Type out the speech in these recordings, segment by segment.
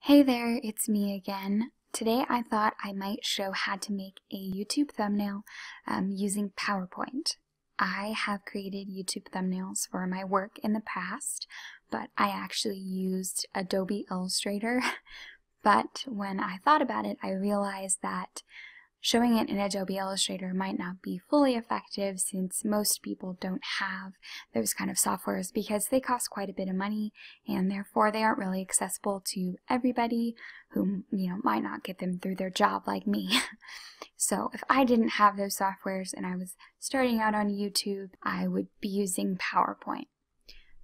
Hey there, it's me again. Today I thought I might show how to make a YouTube thumbnail um, using PowerPoint. I have created YouTube thumbnails for my work in the past, but I actually used Adobe Illustrator. but when I thought about it, I realized that showing it in Adobe Illustrator might not be fully effective since most people don't have those kind of softwares because they cost quite a bit of money and therefore they aren't really accessible to everybody who you know might not get them through their job like me. so if I didn't have those softwares and I was starting out on YouTube, I would be using PowerPoint.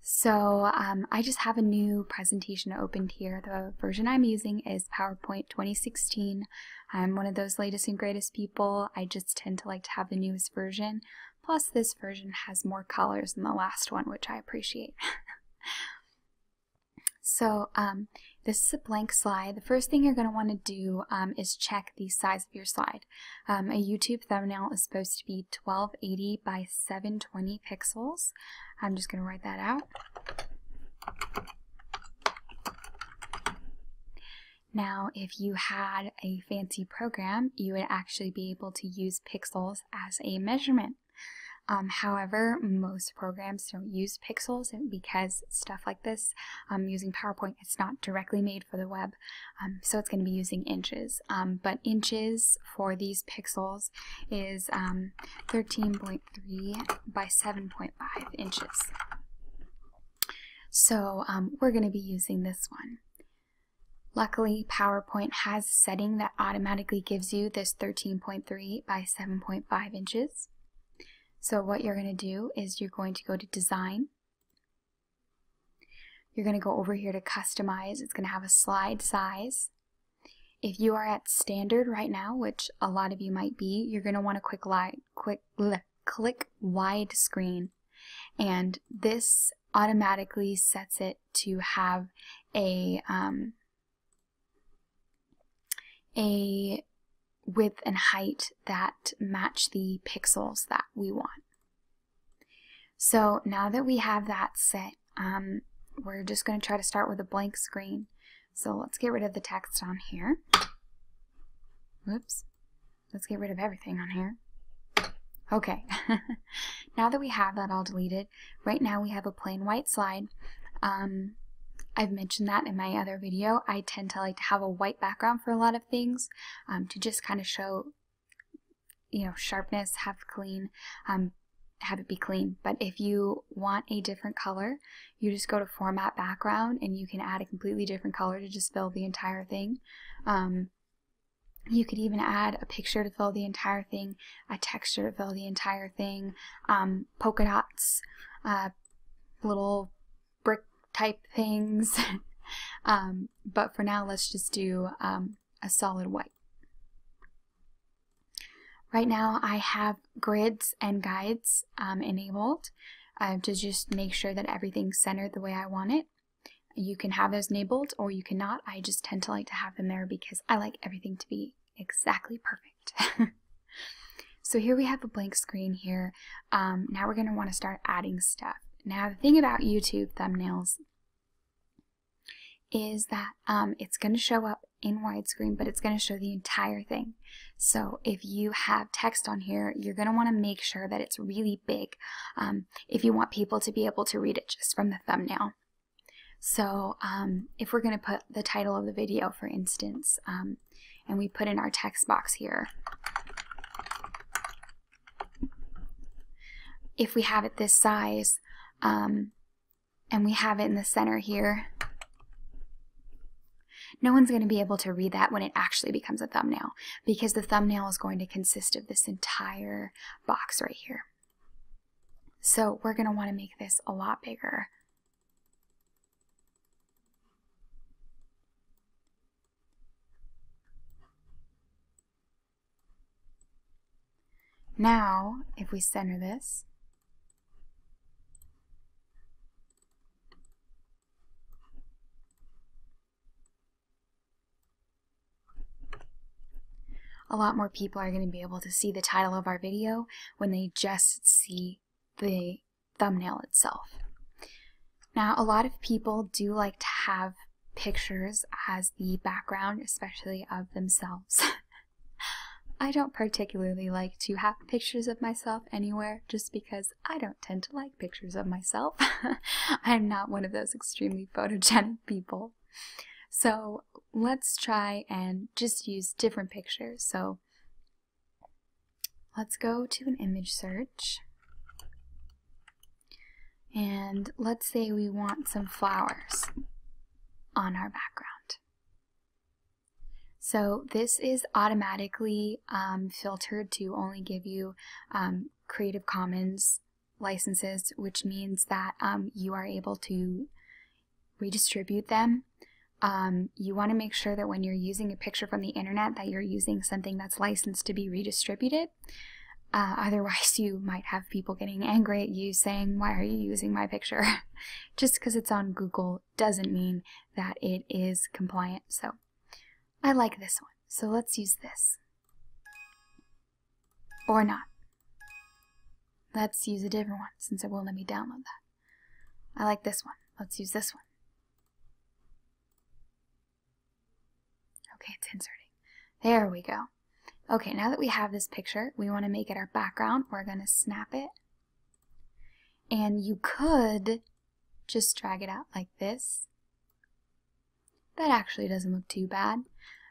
So um, I just have a new presentation opened here. The version I'm using is PowerPoint 2016 I'm one of those latest and greatest people. I just tend to like to have the newest version. Plus, this version has more colors than the last one, which I appreciate. so, um, this is a blank slide. The first thing you're going to want to do um, is check the size of your slide. Um, a YouTube thumbnail is supposed to be 1280 by 720 pixels. I'm just going to write that out. Now, if you had a fancy program, you would actually be able to use pixels as a measurement. Um, however, most programs don't use pixels because stuff like this, um, using PowerPoint, it's not directly made for the web. Um, so it's going to be using inches. Um, but inches for these pixels is 13.3 by 7.5 inches. So um, we're going to be using this one. Luckily, PowerPoint has a setting that automatically gives you this 13.3 by 7.5 inches. So what you're going to do is you're going to go to Design. You're going to go over here to Customize. It's going to have a slide size. If you are at Standard right now, which a lot of you might be, you're going to want to click Light, quick, click, wide screen, And this automatically sets it to have a, um, a width and height that match the pixels that we want. So now that we have that set, um, we're just going to try to start with a blank screen. So let's get rid of the text on here. Whoops. Let's get rid of everything on here. Okay, now that we have that all deleted, right now we have a plain white slide. Um, I've mentioned that in my other video. I tend to like to have a white background for a lot of things um, to just kind of show, you know, sharpness, have clean um, have it be clean. But if you want a different color, you just go to format background and you can add a completely different color to just fill the entire thing. Um, you could even add a picture to fill the entire thing, a texture to fill the entire thing, um, polka dots, uh, little brick type things. Um, but for now, let's just do a solid white. Right now I have grids and guides um, enabled uh, to just make sure that everything's centered the way I want it. You can have those enabled or you cannot. I just tend to like to have them there because I like everything to be exactly perfect. so here we have a blank screen here. Um, now we're going to want to start adding stuff. Now the thing about YouTube thumbnails is that um, it's going to show up in widescreen, but it's going to show the entire thing. So if you have text on here, you're going to want to make sure that it's really big um, if you want people to be able to read it just from the thumbnail. So um, if we're going to put the title of the video, for instance, and we put in our text box here, if we have it this size, and we have it in the center here. No one's going to be able to read that when it actually becomes a thumbnail because the thumbnail is going to consist of this entire box right here. So we're going to want to make this a lot bigger. Now, if we center this, a lot more people are going to be able to see the title of our video when they just see the thumbnail itself. Now, a lot of people do like to have pictures as the background, especially of themselves. I don't particularly like to have pictures of myself anywhere just because I don't tend to like pictures of myself. I'm not one of those extremely photogenic people. So let's try and just use different pictures. So let's go to an image search and let's say we want some flowers on our background. So this is automatically um, filtered to only give you um, Creative Commons licenses, which means that um, you are able to redistribute them. you want to make sure that when you're using a picture from the internet that you're using something that's licensed to be redistributed uh, otherwise, you might have people getting angry at you saying, Why are you using my picture? Just because it's on Google doesn't mean that it is compliant. So I like this one. So let's use this. Or not. Let's use a different one since it won't let me download that. I like this one. Let's use this one. Okay, it's inserting. There we go. Okay, now that we have this picture, we want to make it our background. We're going to snap it. And you could just drag it out like this. That actually doesn't look too bad,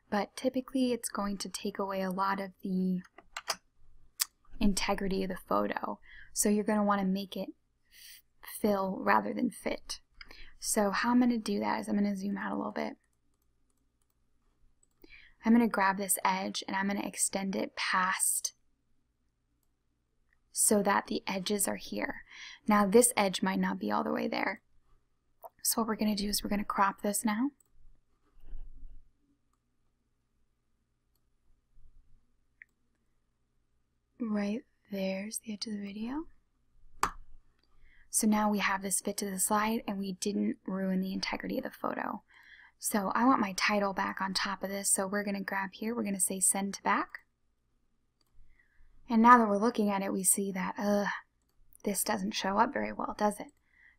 but typically it's going to take away a lot of the integrity of the photo. So you're going to want to make it fill rather than fit. So how I'm going to do that is I'm going to zoom out a little bit. I'm going to grab this edge and I'm going to extend it past so that the edges are here. Now this edge might not be all the way there. So what we're going to do is we're going to crop this now right there's the edge of the video. So now we have this fit to the slide and we didn't ruin the integrity of the photo. So I want my title back on top of this. So we're going to grab here, we're going to say send to back. And now that we're looking at it, we see that, uh, this doesn't show up very well, does it?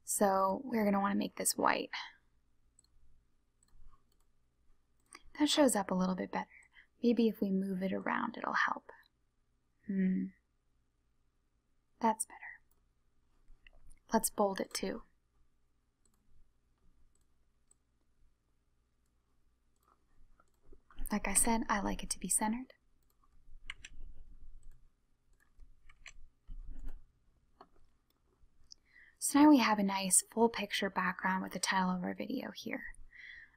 So we're going to want to make this white. That shows up a little bit better. Maybe if we move it around, it'll help. Hmm. That's better. Let's bold it too. Like I said, I like it to be centered. So now we have a nice full picture background with the title of our video here.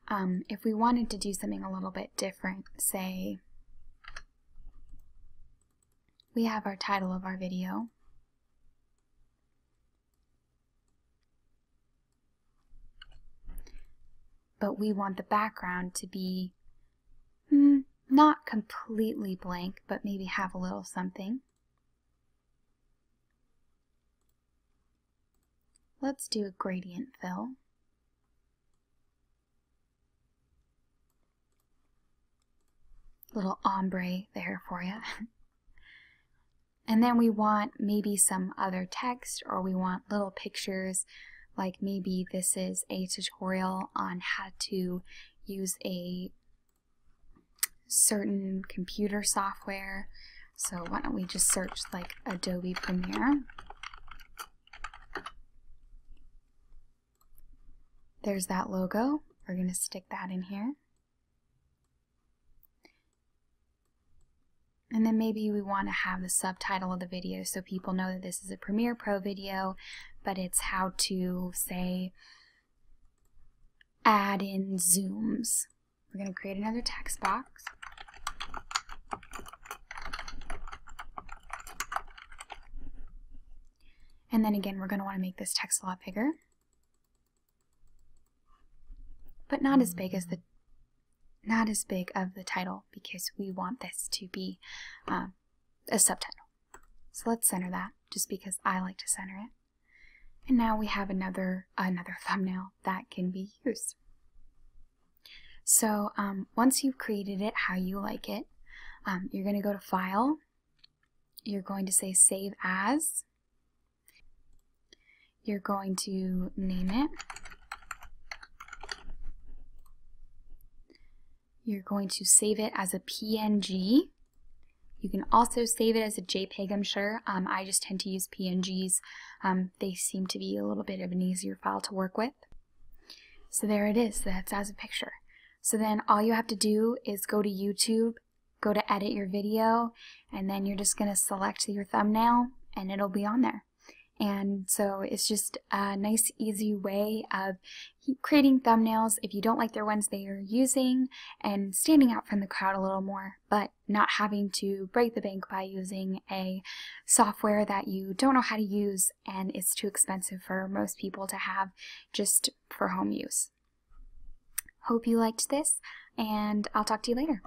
Um, if we wanted to do something a little bit different, say we have our title of our video. But we want the background to be hmm, not completely blank, but maybe have a little something. Let's do a gradient fill. Little ombre there for you. and then we want maybe some other text or we want little pictures like maybe this is a tutorial on how to use a certain computer software. So why don't we just search like Adobe Premiere? There's that logo. We're going to stick that in here. And then maybe we want to have the subtitle of the video so people know that this is a Premiere Pro video, but it's how to, say, add in zooms. We're going to create another text box. And then again, we're going to want to make this text a lot bigger. But not as big as the not as big of the title because we want this to be uh, a subtitle. So let's center that just because I like to center it. And now we have another another thumbnail that can be used. So um, once you've created it how you like it, um, you're going to go to File. You're going to say Save As. You're going to name it. You're going to save it as a PNG. You can also save it as a JPEG, I'm sure. Um, I just tend to use PNGs. Um, they seem to be a little bit of an easier file to work with. So there it is. That's as a picture. So then all you have to do is go to YouTube, go to edit your video, and then you're just going to select your thumbnail, and it'll be on there. And so it's just a nice, easy way of creating thumbnails if you don't like the ones they are using and standing out from the crowd a little more, but not having to break the bank by using a software that you don't know how to use and is too expensive for most people to have just for home use. Hope you liked this, and I'll talk to you later.